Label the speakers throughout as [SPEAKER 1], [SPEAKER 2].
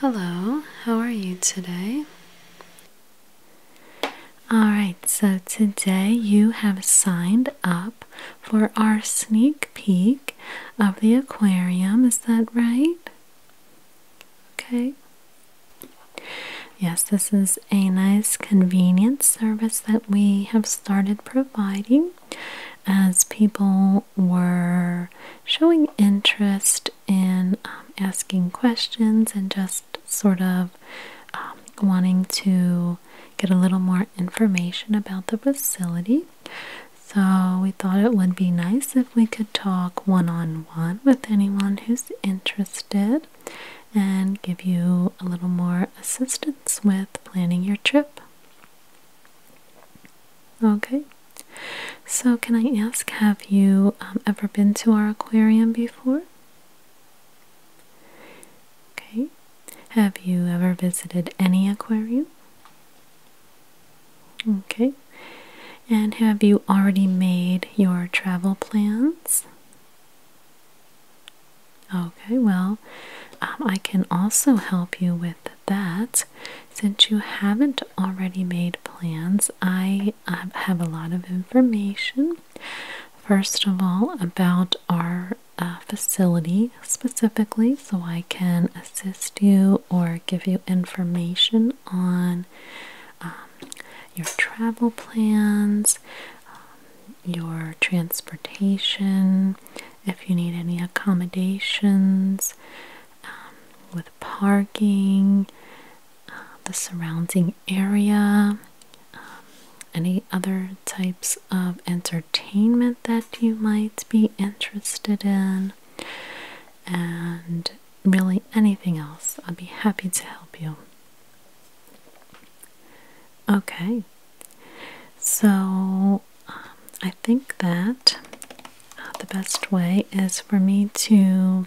[SPEAKER 1] Hello, how are you today? Alright, so today you have signed up for our sneak peek of the aquarium, is that right? Okay. Yes, this is a nice convenience service that we have started providing as people were showing interest in um, asking questions and just sort of um, wanting to get a little more information about the facility. So, we thought it would be nice if we could talk one on one with anyone who's interested and give you a little more assistance with planning your trip. Okay, so can I ask, have you um, ever been to our aquarium before? Okay, have you ever visited any aquarium? Okay, and have you already made your travel plans? Okay, well, um, I can also help you with that since you haven't already made plans, I have a lot of information. First of all, about our uh, facility specifically, so I can assist you or give you information on um, your travel plans, um, your transportation, if you need any accommodations, um, with parking, uh, the surrounding area, um, any other types of entertainment that you might be interested in, and really anything else. I'd be happy to help you. Okay, so I think that uh, the best way is for me to.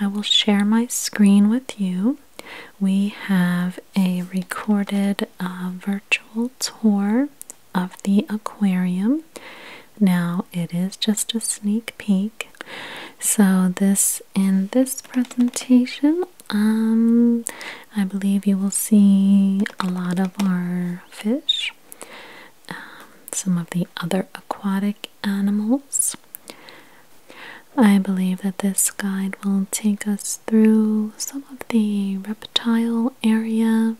[SPEAKER 1] I will share my screen with you. We have a recorded uh, virtual tour of the aquarium. Now it is just a sneak peek. So this in this presentation, um, I believe you will see a lot of our fish. Um, some of the other aquatic animals. I believe that this guide will take us through some of the reptile area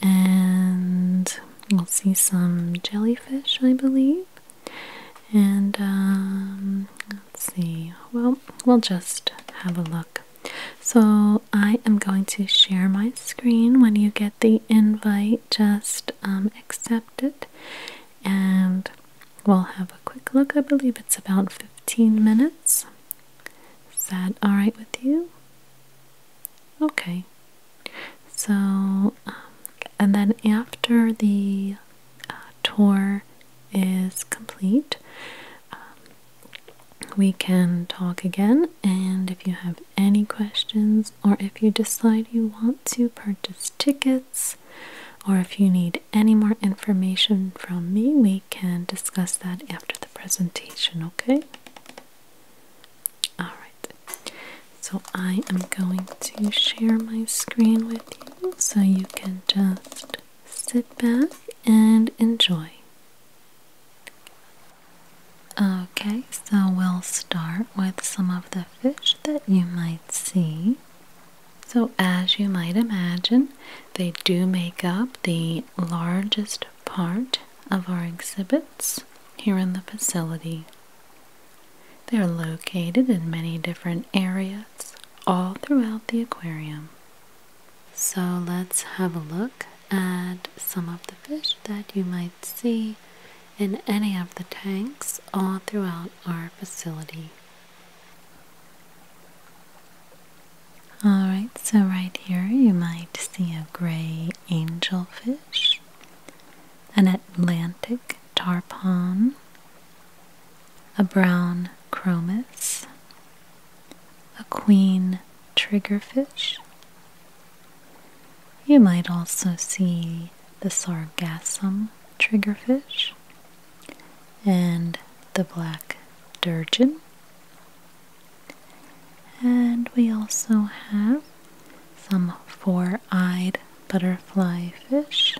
[SPEAKER 1] and we'll see some jellyfish, I believe. And um, let's see, well, we'll just have a look so I am going to share my screen. When you get the invite, just um, accept it and we'll have a quick look. I believe it's about 15 minutes. Is that all right with you? Okay. So, um, and then after the uh, tour is complete, um, we can talk again. And if you have any questions, or if you decide you want to purchase tickets, or if you need any more information from me, we can discuss that after the presentation, okay? Alright, so I am going to share my screen with you so you can just sit back and enjoy. Okay, so we'll start with some of the fish that you might see. So, as you might imagine, they do make up the largest part of our exhibits here in the facility. They're located in many different areas all throughout the aquarium. So, let's have a look and some of the fish that you might see in any of the tanks all throughout our facility. Alright, so right here you might see a gray angelfish, an Atlantic tarpon, a brown chromis, a queen triggerfish. You might also see the sargassum triggerfish and the black durgin. And we also have some four eyed butterflyfish.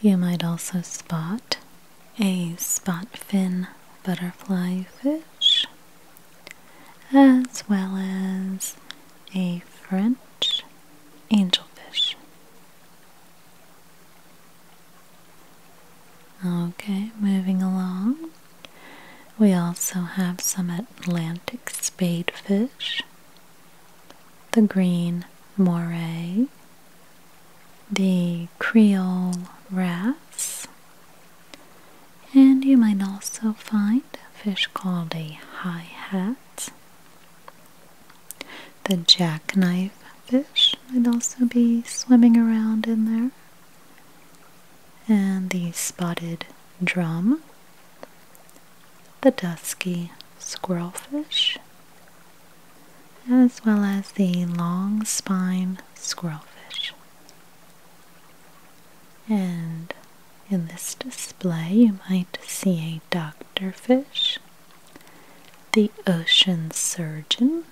[SPEAKER 1] You might also spot a spotfin butterflyfish, as well as a French angelfish. Okay, moving along. We also have some Atlantic spadefish, the green moray, the Creole wrasse, and you might also find a fish called a high hat. The jackknife fish might also be swimming around in there, and the spotted drum, the dusky squirrelfish, as well as the long spine squirrelfish. And in this display, you might see a doctorfish, the ocean surgeon,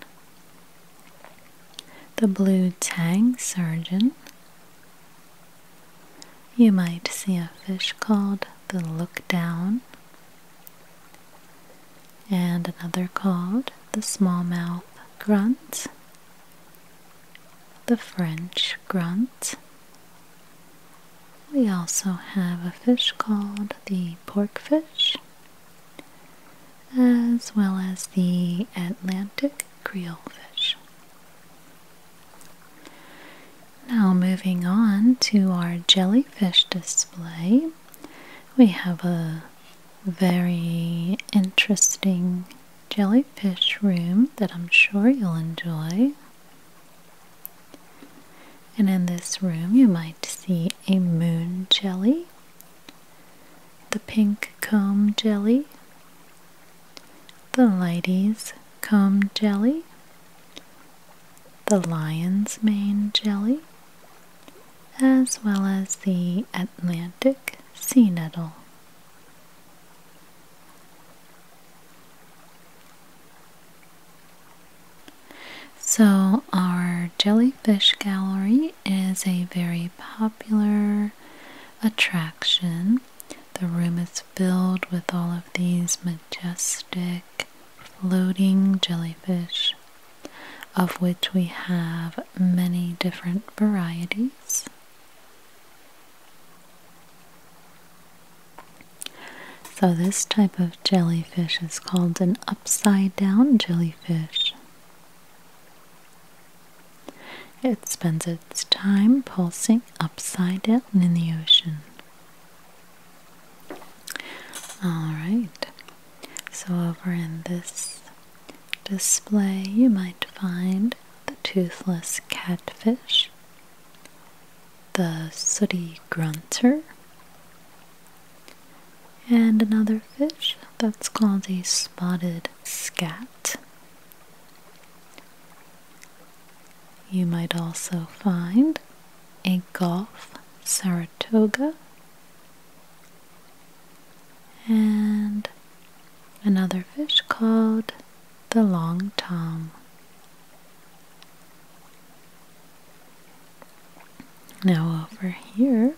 [SPEAKER 1] the blue tang surgeon. You might see a fish called the lookdown and another called the smallmouth grunt, the French grunt. We also have a fish called the porkfish, as well as the Atlantic creel fish. Now, moving on to our jellyfish display, we have a very interesting jellyfish room that I'm sure you'll enjoy. And in this room, you might see a moon jelly, the pink comb jelly, the lady's comb jelly, the lion's mane jelly, as well as the Atlantic sea nettle. So, our jellyfish gallery is a very popular attraction. The room is filled with all of these majestic floating jellyfish, of which we have many different varieties. So, this type of jellyfish is called an upside down jellyfish. It spends its time pulsing upside down in the ocean. Alright, so over in this display you might find the toothless catfish, the sooty grunter, and another fish that's called a spotted scat. You might also find a golf Saratoga and another fish called the long tom. Now, over here,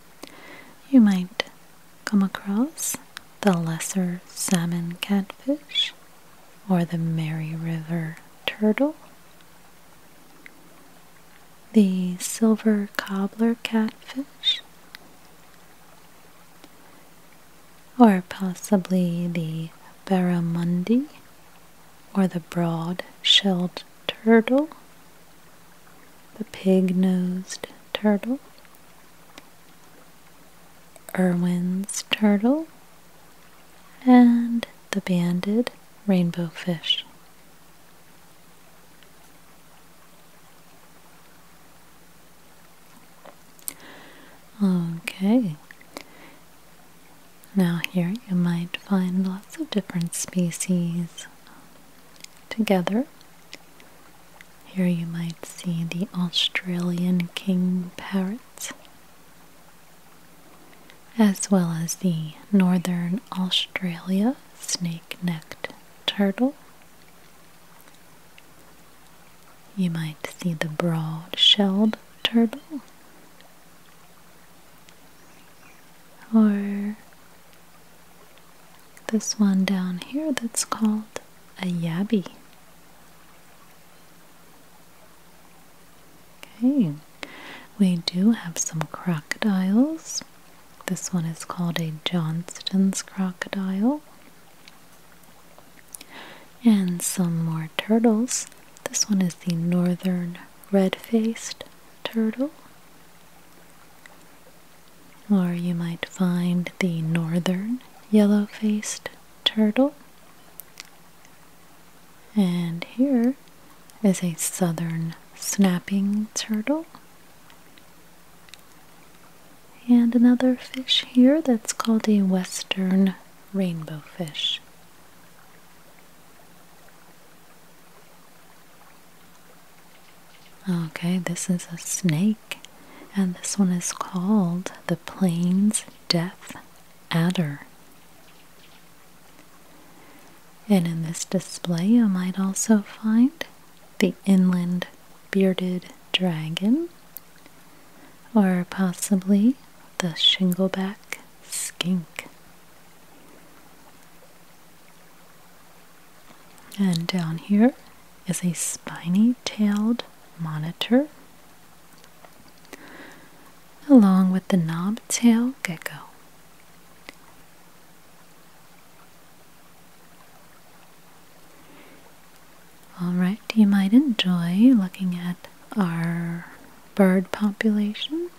[SPEAKER 1] you might come across the lesser salmon catfish or the Mary River turtle the silver cobbler catfish, or possibly the barramundi or the broad shelled turtle, the pig nosed turtle, Irwin's turtle, and the banded rainbow fish. Okay. Now, here you might find lots of different species together. Here you might see the Australian king parrot as well as the northern Australia snake necked turtle. You might see the broad shelled turtle or this one down here that's called a yabby. Okay. We do have some crocodiles. This one is called a Johnston's crocodile. And some more turtles. This one is the northern red-faced turtle. Or you might find the northern yellow-faced turtle. And here is a southern snapping turtle. And another fish here that's called a western rainbow fish. Okay, this is a snake, and this one is called the Plains Death Adder. And in this display, you might also find the inland bearded dragon, or possibly the shingleback skink. And down here is a spiny tailed monitor, along with the knob tailed gecko. Alright, you might enjoy looking at our bird population.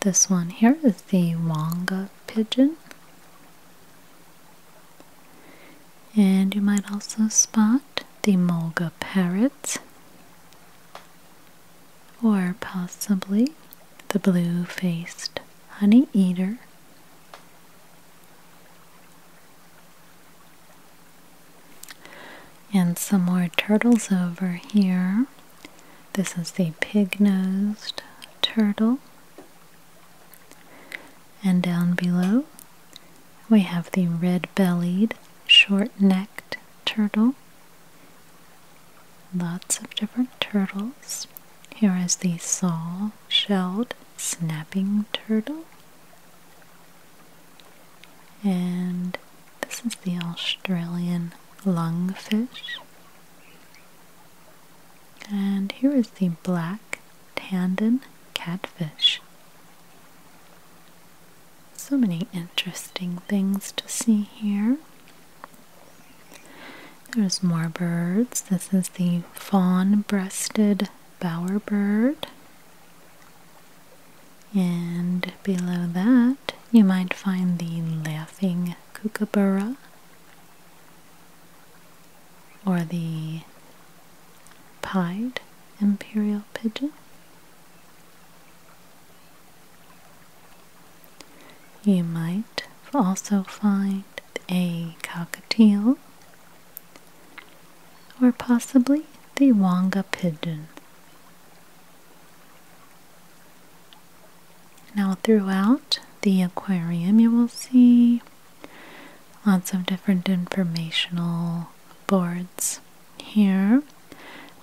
[SPEAKER 1] This one here is the Wonga pigeon. And you might also spot the Mulga parrot or possibly the blue faced honey eater. And some more turtles over here. This is the pig nosed turtle. And down below, we have the red bellied, short necked turtle. Lots of different turtles. Here is the saw shelled snapping turtle. And this is the Australian lungfish. And here is the black tandon catfish. So many interesting things to see here. There's more birds. This is the fawn breasted bowerbird. And below that, you might find the laughing kookaburra or the pied imperial pigeon. You might also find a cockatiel or possibly the wonga pigeon. Now, throughout the aquarium, you will see lots of different informational boards here.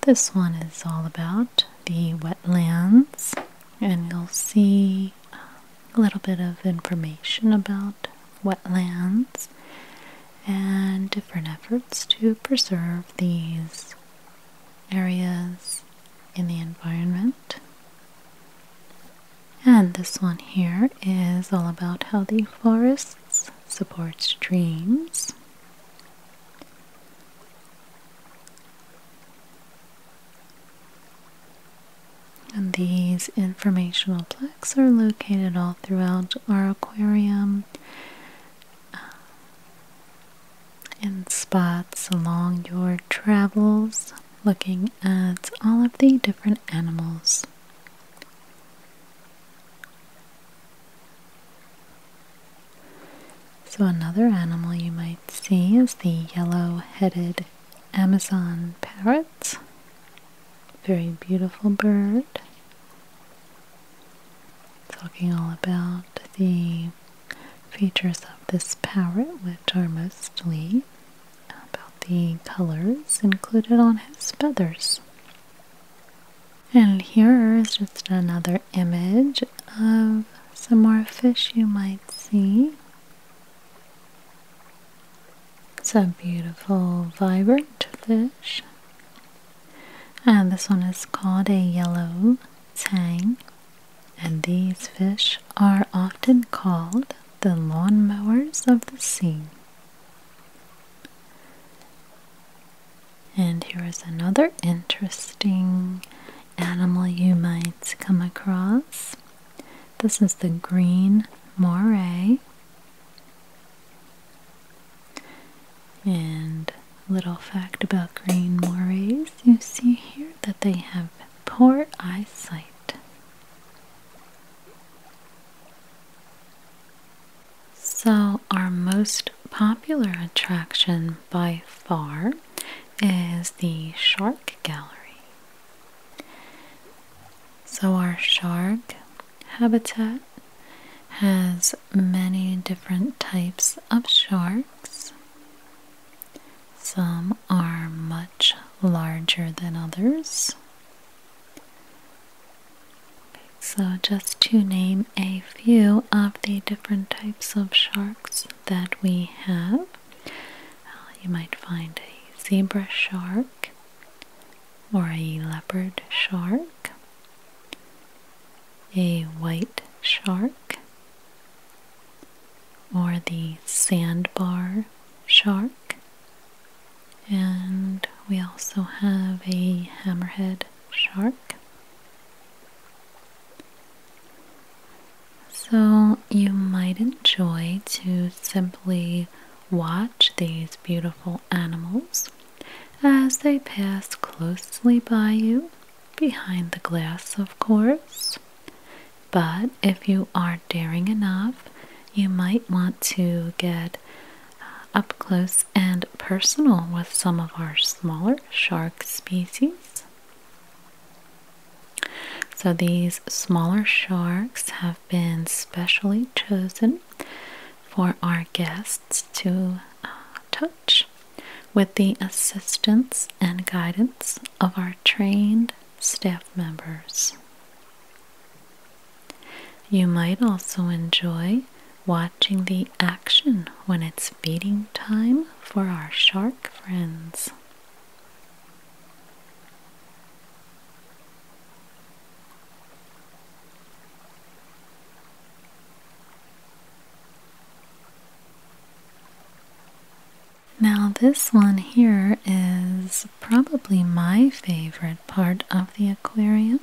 [SPEAKER 1] This one is all about the wetlands, and you'll see a little bit of information about wetlands and different efforts to preserve these areas in the environment. And this one here is all about how the forests support streams. And these informational plaques are located all throughout our aquarium uh, in spots along your travels, looking at all of the different animals. So, another animal you might see is the yellow headed Amazon parrot. Very beautiful bird. Talking all about the features of this parrot, which are mostly about the colors included on his feathers. And here is just another image of some more fish you might see. It's a beautiful, vibrant fish. And this one is called a yellow tang. And these fish are often called the lawnmowers of the sea. And here is another interesting animal you might come across. This is the green moray. And little fact about green morays, you see here that they have poor eyesight. So, our most popular attraction by far is the Shark Gallery. So, our shark habitat has many different types of sharks. Some are much larger than others. So, just to name a few of the different types of sharks that we have, uh, you might find a zebra shark or a leopard shark, a white shark, or the sandbar shark, and we also have a hammerhead shark. So, you might enjoy to simply watch these beautiful animals as they pass closely by you, behind the glass, of course. But if you are daring enough, you might want to get uh, up close and personal with some of our smaller shark species. So, these smaller sharks have been specially chosen for our guests to uh, touch with the assistance and guidance of our trained staff members. You might also enjoy watching the action when it's feeding time for our shark friends. Now, this one here is probably my favorite part of the aquarium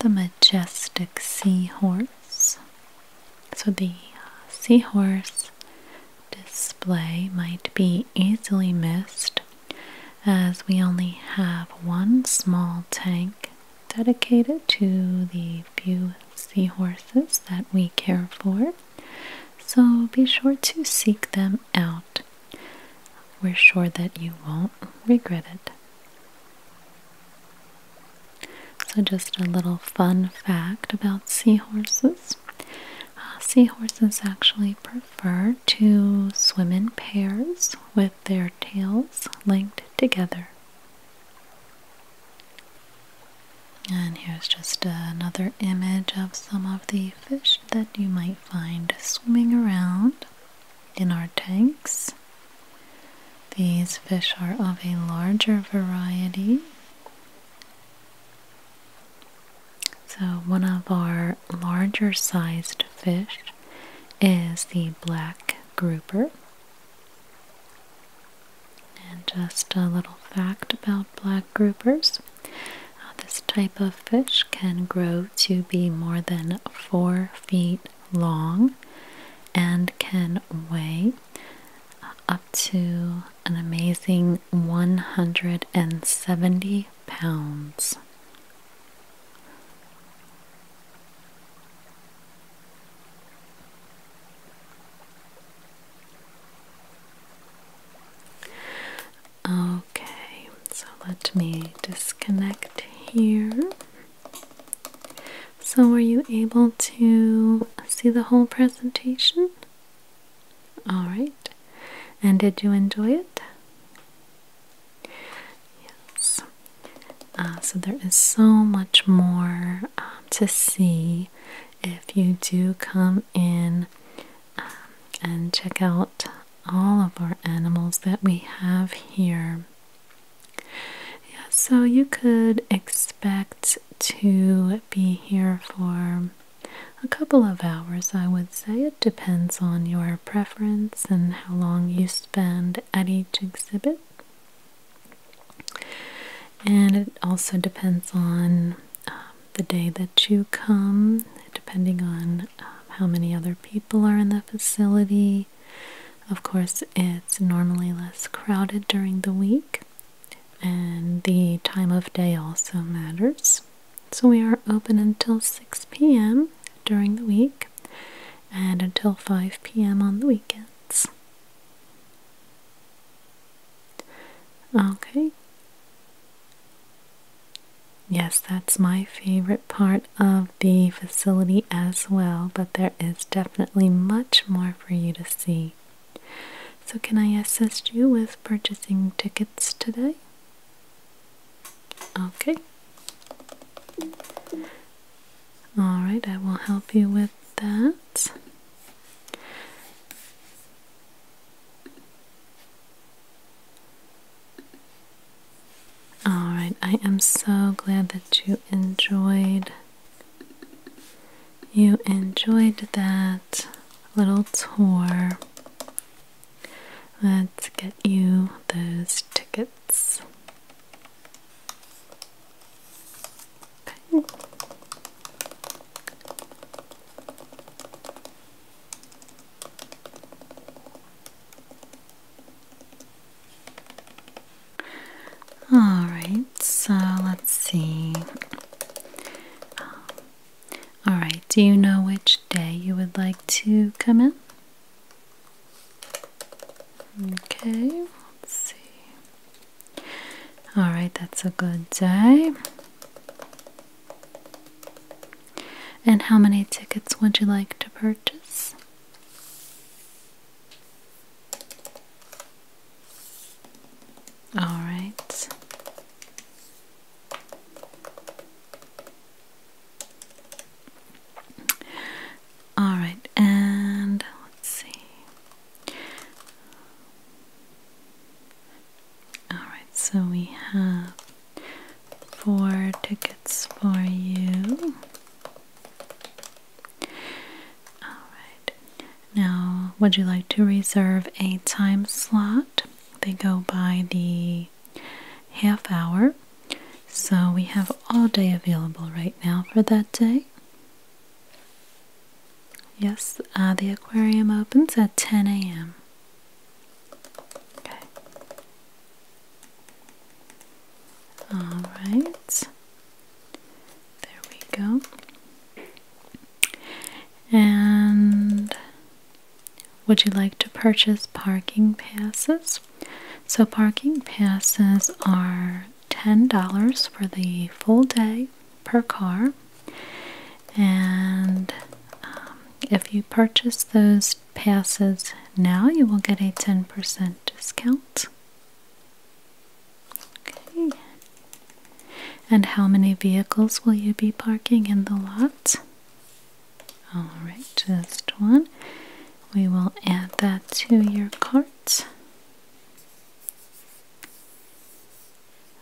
[SPEAKER 1] the majestic seahorse. So the uh, seahorse display might be easily missed as we only have one small tank dedicated to the few seahorses that we care for. So be sure to seek them out. We're sure that you won't regret it. So, just a little fun fact about seahorses uh, seahorses actually prefer to swim in pairs with their tails linked together. And here's just another image of some of the fish that you might find swimming around in our tanks. These fish are of a larger variety. So, one of our larger sized fish is the black grouper. And just a little fact about black groupers uh, this type of fish can grow to be more than four feet long and can weigh uh, up to an amazing 170 pounds. Okay, so let me disconnect here. So, were you able to see the whole presentation? All right. And did you enjoy it? Yes. Uh, so, there is so much more um, to see if you do come in um, and check out all of our animals that we have here. Yeah, so you could expect to be here for a couple of hours, I would say. It depends on your preference and how long you spend at each exhibit. And it also depends on um, the day that you come, depending on um, how many other people are in the facility, of course, it's normally less crowded during the week, and the time of day also matters. So, we are open until 6 p.m. during the week and until 5 p.m. on the weekends. Okay. Yes, that's my favorite part of the facility as well, but there is definitely much more for you to see. So, can I assist you with purchasing tickets today? Okay. All right, I will help you with that. Alright, I am so glad that you enjoyed you enjoyed that little tour. Let's get you those tickets. Alright, so let's see. Um, alright, do you know which day you would like to come in? Okay, let's see. Alright, that's a good day. And how many tickets would you like to purchase? All right. All right, and let's see. All right, so we have four tickets for you. Alright, now would you like to reserve a time slot? They go by the half hour, so we have all day available right now for that day. Yes, uh, the aquarium opens at 10 a.m. Okay. All right, there we go. And would you like to purchase parking passes? So, parking passes are $10 for the full day per car. And um, if you purchase those passes now, you will get a 10% discount. Okay. And how many vehicles will you be parking in the lot? Alright, just one. We will add that to your cart.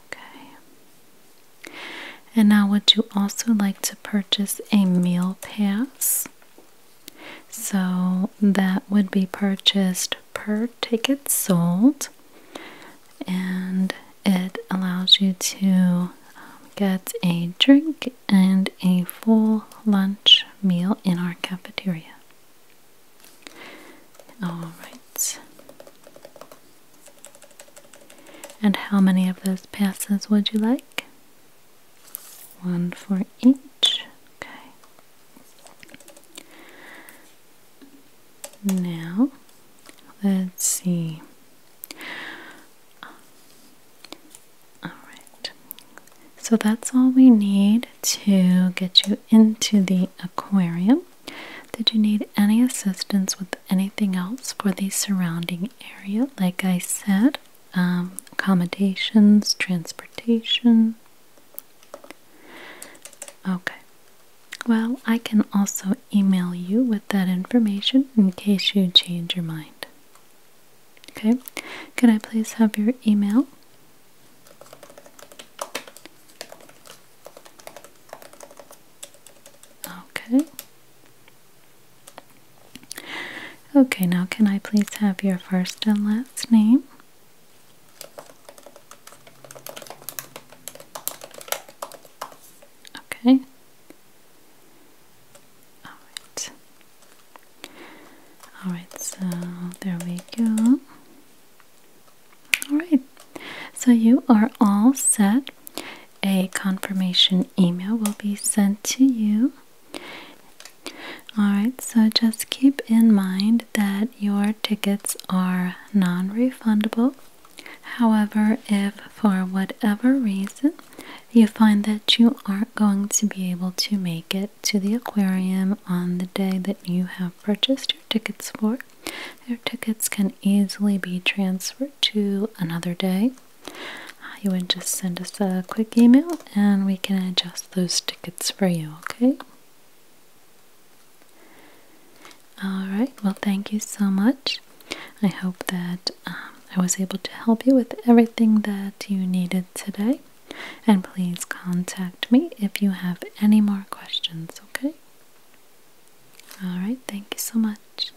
[SPEAKER 1] Okay. And now, would you also like to purchase a meal pass? So that would be purchased per ticket sold, and it allows you to um, get a drink and a full lunch meal in our cafeteria. All right. And how many of those passes would you like? one for each. Okay. Now, let's see. All right. So that's all we need to get you into the aquarium. Did you need any assistance with anything else for the surrounding area? Like I said, um, accommodations, transportation. Okay. Well, I can also email you with that information in case you change your mind. Okay, Can I please have your email? Okay. Okay, now can I please have your first and last name? Okay. All right. All right, so there we go. All right. So you are all set. A confirmation email will be sent to you Alright, so just keep in mind that your tickets are non refundable. However, if for whatever reason you find that you aren't going to be able to make it to the aquarium on the day that you have purchased your tickets for, your tickets can easily be transferred to another day uh, you would just send us a quick email and we can adjust those tickets for you, okay? Alright, well, thank you so much. I hope that um, I was able to help you with everything that you needed today. And please contact me if you have any more questions, okay? Alright, thank you so much.